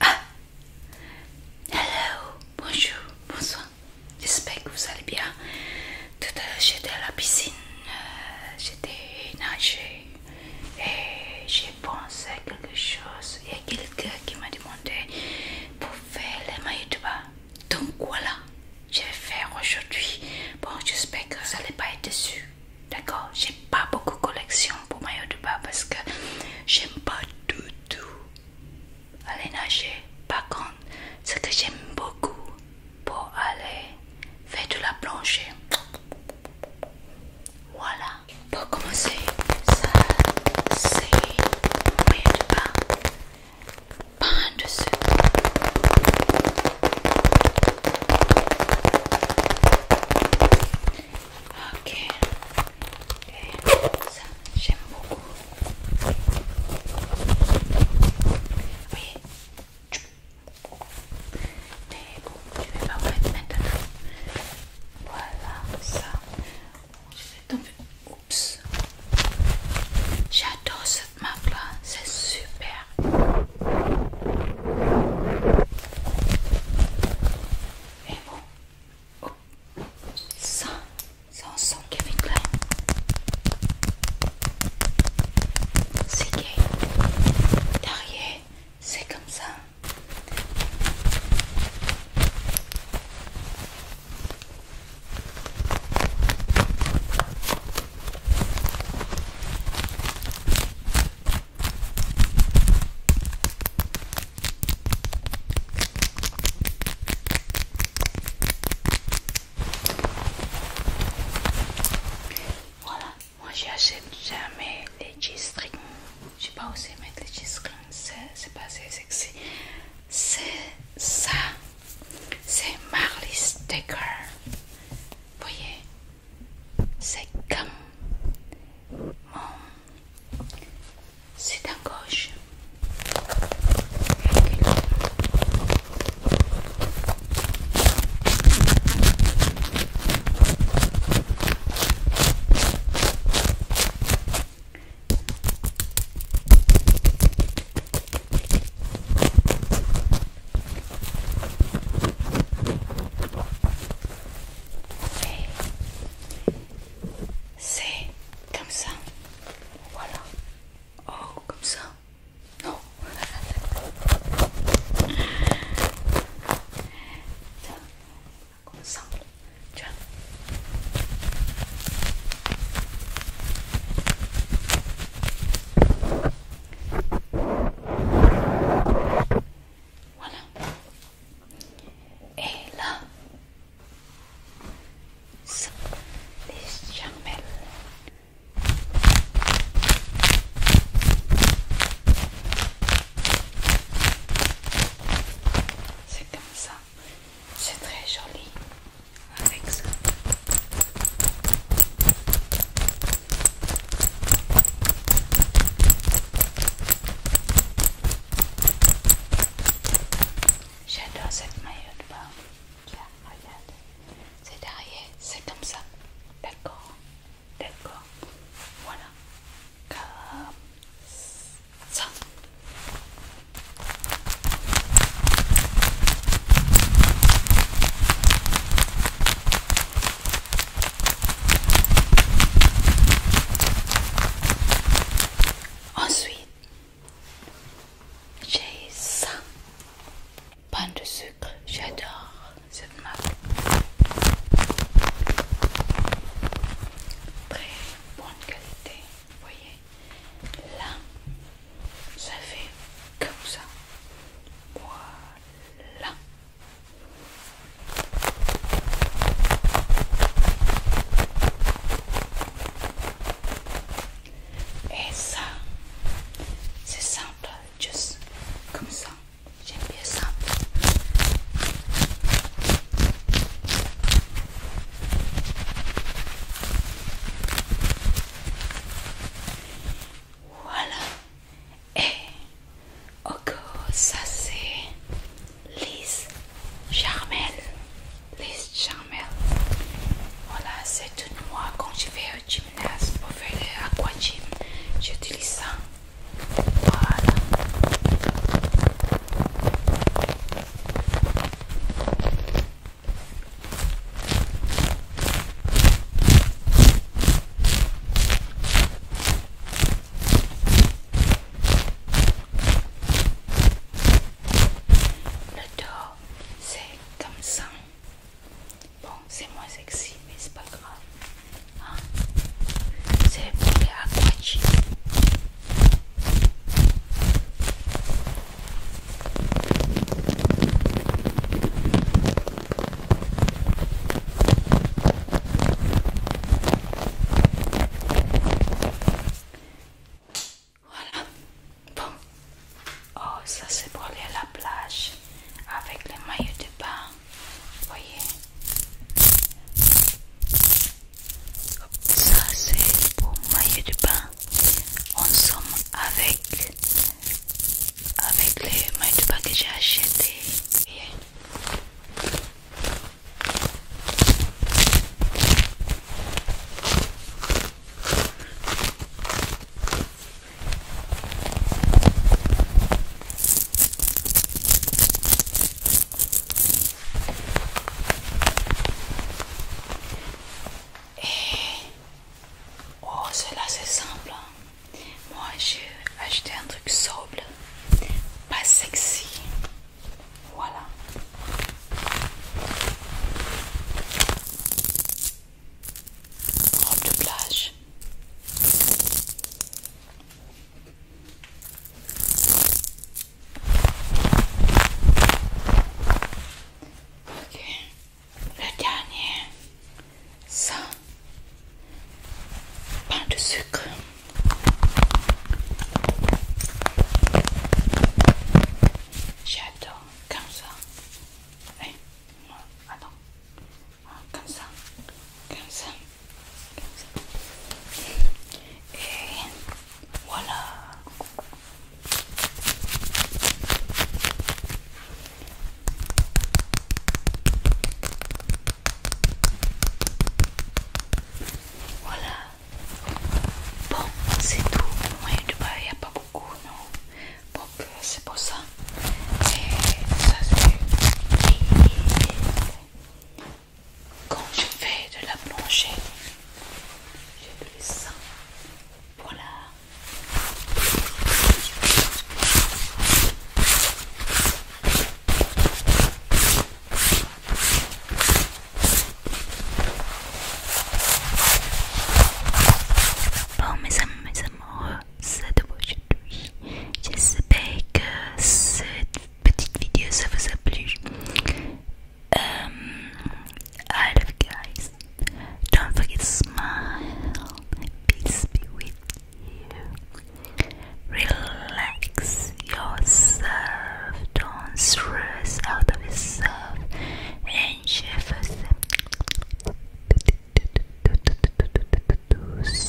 Ah Hello Bonjour, bonsoir. J'espère que vous allez bien. Tout à l'heure j'étais à la piscine, euh, j'étais nager et j'ai pensé à quelque chose. Il y a quelqu'un qui m'a demandé pour faire les mailles de bain. Donc voilà, je vais faire aujourd'hui. Bon, j'espère que ça n'est pas être dessus. D'accord J'ai pas beaucoup de collection pour maillot de bain parce que j'aime pas du tout aller nager. Par contre, ce que j'aime beaucoup pour aller faire de la plancher Voilà. Pour commencer, ça c'est maillot de bain. Behind the soup. Okay. okay. Ça, j'aime beaucoup. Oui. Mais bon, je vais pas vous mettre maintenant. Voilà, ça. Je vais tomber. Oups. J'adore ce ma c'est super. Et bon, oh. ça, c'est un son Kevin clair. C'est gay. Derrière, c'est comme ça. Voilà, moi j'achète jamais les G-strings. Je sais pas où c'est mettre les G-strings, c'est pas assez sexy. C'est ça c'est Marley Sticker. voyez, c'est comme mon. C'est à gauche. C'est comme ça. Voilà. Oh, comme ça. Non. Tiens, comme ça. vois. Voilà. Et là, ça, les C'est comme ça, c'est très joli. J'adore cette maillot de bain. Tiens, regarde. C'est derrière, c'est comme ça. D'accord, d'accord. Voilà. Comme ça. Ensuite, j'ai ça. Pain de sucre, j'adore cette marque. Très bonne qualité, voyez. Là, ça fait comme ça. Voilà. Et ça, c'est simple, juste comme ça. J'aime bien ça. Voilà. Et ça c'est Liz Charmel. Liz Charmel. Voilà, c'est tout moi quand je vais au gymnase pour faire l'aquagym. J'utilise ça. Voilà. Le dos, c'est comme ça. Bon, c'est moins sexy, mais c'est pas grave. Hein. C'est pour les voilà. Bon. Oh, ça c'est pour aller à la plage avec les maillots de bain. Voyez. Ça c'est pour maillot du pain. En somme avec avec les maillots de pain que j'ai acheté. Et eh. oh, cela c'est simple. Hein. Moi j'ai acheté un truc sobre, pas sexy. Voilà. Robe oh, plage. Ok, le dernier, ça, pain de sucre. J'adore comme ça. Hein? attends. Ah, comme ça, comme ça, comme ça. Et voilà. Voilà. Bon, c'est tout. il n'y a pas beaucoup, non Bon, euh, c'est pour ça. Et ça, c'est quand je fais de la plongée, plus ça pour Voilà. Bon mes amis, mes amours, c'est de aujourd'hui. J'espère que cette petite vidéo ça vous a plu. Um, I guys. Don't forget to smile. Peace be with you. Relax yourself. Don't stress out of yourself. Enjoy yourself.